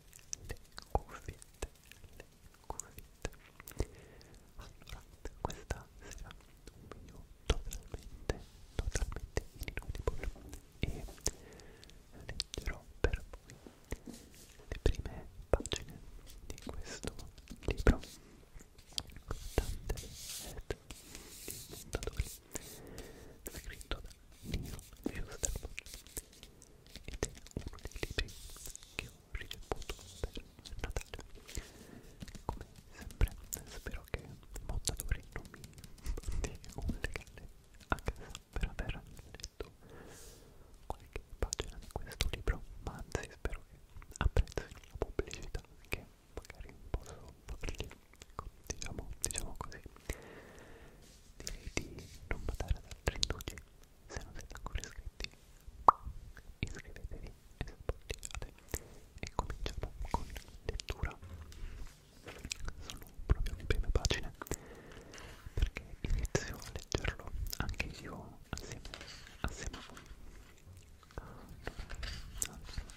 cuffiette, le cuffiette. Allora, questa sera un video totalmente, totalmente inutile e leggerò per voi le prime pagine di questo libro. Tante e di montatori scritto da Neil Schusterman ed è uno dei libri che ho ricevuto per Natale come sempre spero che Mondadori non mi mandi un legale a casa per aver letto qualche pagina di questo libro ma anzi spero che apprezzino la pubblicità che magari posso fargli ecco, diciamo, diciamo così direi di non badare ad altri indugi se non siete ancora iscritti iscrivetevi e supportate e cominciamo con lettura sono proprio le prime pagine perché inizio a leggerlo anche io assieme, assieme a voi allora, ah, allora.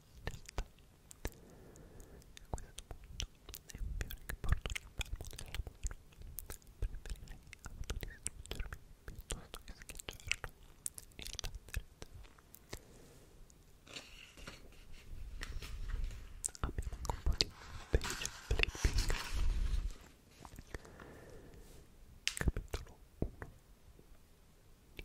realtà questo punto è un fiore che porto nel palmo della mano preferirei autodistruggermi piuttosto che schiacciarlo e battere abbiamo anche un po' di page flipping capitolo 1 di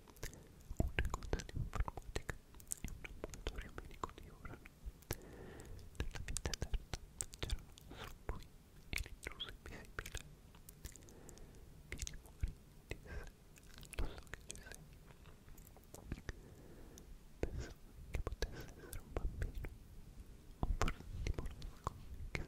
una cosa l'informatica e un laboratorio medico di Urano. Nella vita terza e l'intruso invisibile. Vieni fuori, disse, so che sei. Pensavo che potesse essere un bambino, o forse un tipo che sperava di ottenere l'immunità.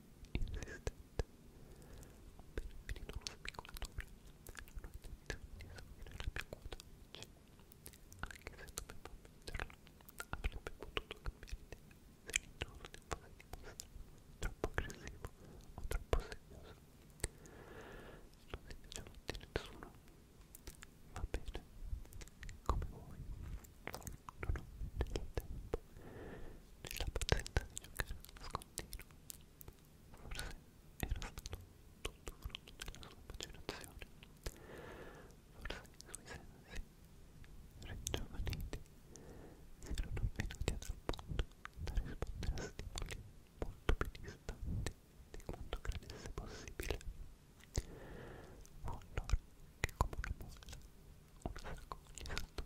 insistente per finire uno spigolatore non ho intenzione di esaurire la mia quota oggi anche se dovevo ammetterlo avrebbe potuto cambiare idea se l'ingiusto fosse dimostrato troppo aggressivo o troppo serioso non si piace a nessuno va bene come vuoi non ho né il tempo né la pazienza di giocare a nascondere continuo. Forse era stato tutto frutto della sua macerazione. Forse i suoi sensi, ringiovaniti, erano venuti ad appunto da rispondere a stimoli molto più distanti di quanto credesse possibile. Fu allora che come una molla, una saccoglia saltò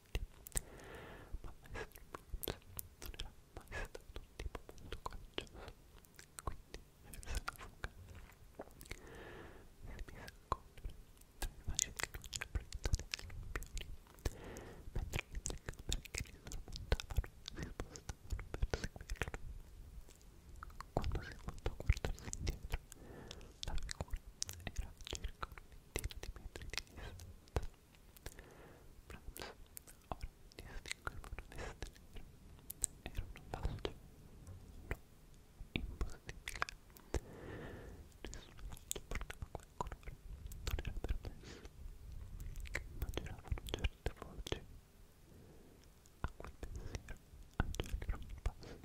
Uniti, ma Maestro Bruce non era mai stato un tipo molto coraggioso, quindi verso la fuga si mise a correre tra le facce di luce proiettate dai lampioni, mentre le tre camere che li sormontavano si spostavano per seguirlo. Quando si voltò a guardarsi indietro, la figura era circa un metro centimetri di distanza. Brahms ora distingueva una destra libera. Era una faccia? No, impossibile. Nessuna faccia portava quel colore, non era permesso. Ma giravano certe voci. A quel pensiero, Angelica non passa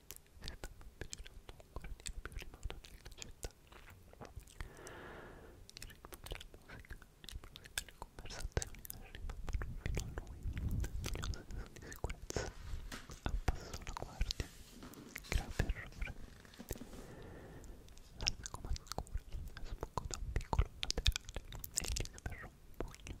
si stava avvicinando ancora di più rimando nella città. Il ritmo della musica, il profumo delle conversazioni arrivavano fino a lui, dando un senso di sicurezza. Abbassò la guardia, grave errore. L'arma come scura sbucò da un piccolo laterale e gli sferrò un pugno.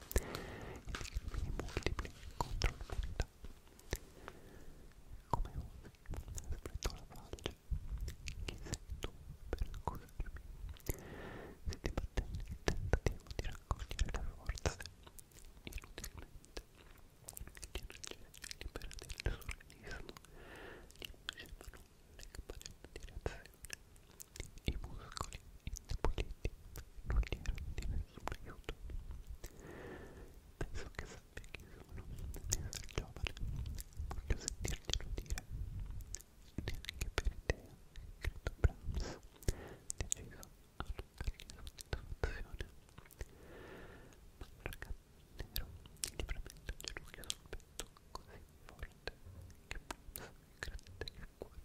enigmi multipli contro l'umanità. Come ove, spretò la falce, chi sei tu per accusarmi? Si dibatté nel tentativo di raccogliere le forze, inutilmente. L'energia libera del sorrismo gli facevano le capaci di reazione. I muscoli indeboliti non gli erano di nessun aiuto. Penso che sappia chi sono, di essere giovane, voglio sentirglielo dire. Neanche per idea, credo Brahms, deciso a toccargli soddisfazione. Ma il ragazzo nero liberamente ginocchia sul petto così forte che Brahms credette che il cuore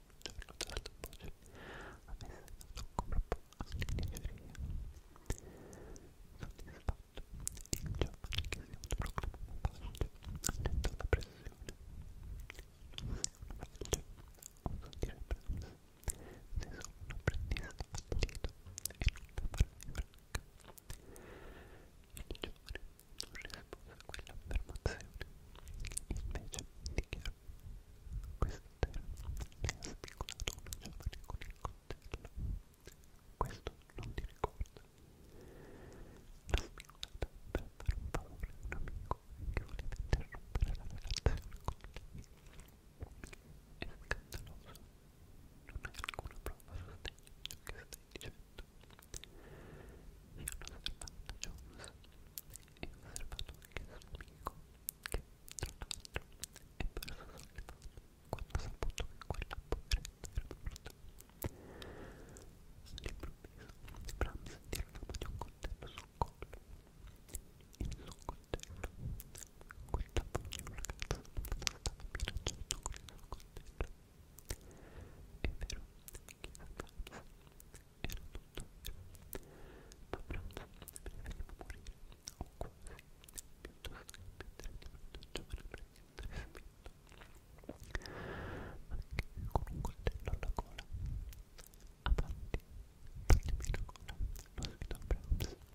giorno della tua voce a me è stato proprio all'inigeria soddisfatto il giovane che si autoproclama pace attento alla pressione non sei un vecchio oso dire preso sei solo un apprendista fallito e non da farne franca il giovane non rispose a quell'affermazione invece dichiarò giovane con il coltello. Questo non ti ricorda. La spigolata per fare un favore a un amico che voleva interrompere la relazione con lei. È scandaloso. Non hai alcuna prova a sostegno di ciò che stai dicendo. Io non osservante Jones e ho osservato anche il suo amico che tra l'altro è perso sollevato quando ha saputo che quella poveretta era morta all'improvviso sembra sentire l'aroma di un coltello sul collo il suo coltello quel capo di un ragazzo stava minacciando con il suo coltello è vero, chi sa era tutto vero ma pronto preferivo morire o quasi piuttosto che mettere di fronte un giovane pretendere spinto ma anche con un coltello alla gola avanti toglimi la gola lo sfido a Browns sarà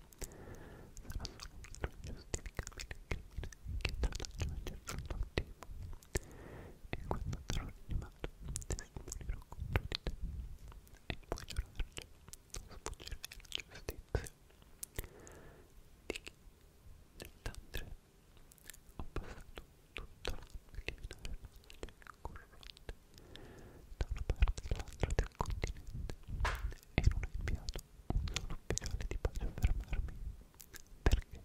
solo un ingiustificabile crimine che tra l'aggiungere fronte al tempo e quando sarò rianimato testimonerò contro di te e puoi giurare sfuggire alla giustizia di chi nell'andre ho passato tutta la preliminare maglia corrotte da una parte all'altra del continente e non ho inviato un solo ufficiale di pace a fermarmi perché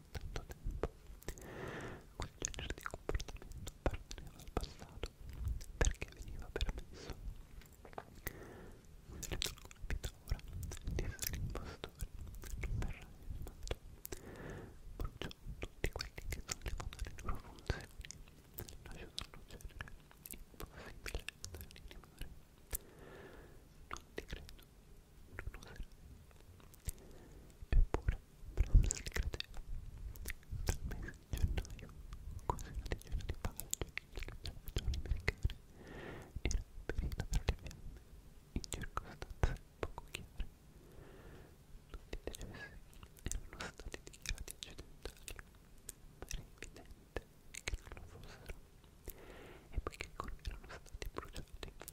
tanto tempo. Quel genere di comportamento apparteneva al passato perché veniva permesso. Se non capita ora, disse l'impostore, non verrai rimasto. Bruciò tutti quelli che sollevano le loro funzioni, lasciò sorgere, impossibile essere l'imposibile. Non ti credo, non oserei. Eppure, Brahms li credeva. Dal mese di gennaio, quasi una decina di pagine delle regioni americane era perita per le fiamme, in circostanze poco chiare. Tutti i decessi erano stati dichiarati accidentali, ma era evidente che non lo fossero e poiché erano stati bruciati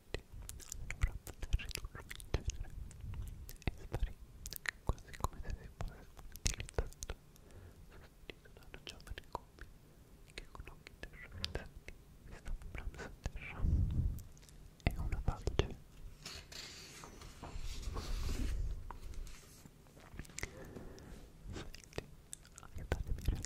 tutti allora poter ridurre il genere e sparire quasi come se si fosse utilizzato sostituito da una giovane coppia che con occhi terrorizzati mi sta comprando a terra è una pace Senti, aiutatemi a rialzarmi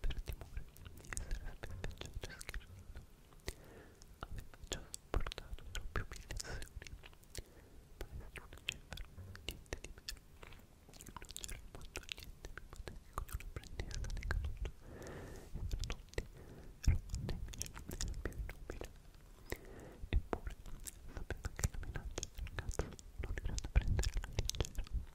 per timore di essere sbeffeggiato e schernito. Aveva già sopportato troppi umiliazioni, ma nessuno cifra, niente di meno. Non c'era in mondo niente più patetico di un apprendista decaduto, e per tutti era un nemico della più inumile. Eppure sapeva che la minaccia del ragazzo non era da prendere alla leggera.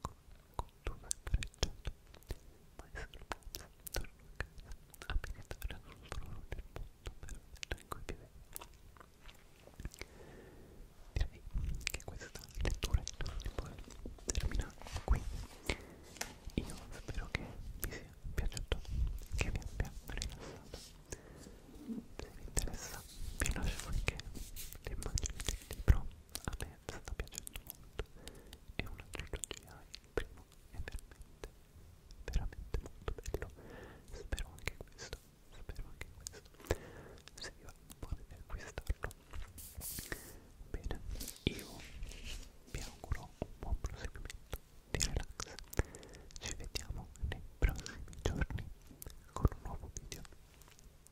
porco con due frecciate mai sorpresa torno a casa a meditare sul trono del mondo perfetto in cui vivevo direi che questa lettura può terminare qui io spero che vi sia piaciuto che vi abbia rilassato se vi interessa vi lascio anche le immagini del libro a me sta piacendo molto è una trilogia il primo è veramente veramente molto bello spero anche questo spero anche questo se vi va potete acquistarlo bene io vi auguro un buon proseguimento di relax ci vediamo nei prossimi giorni con un nuovo video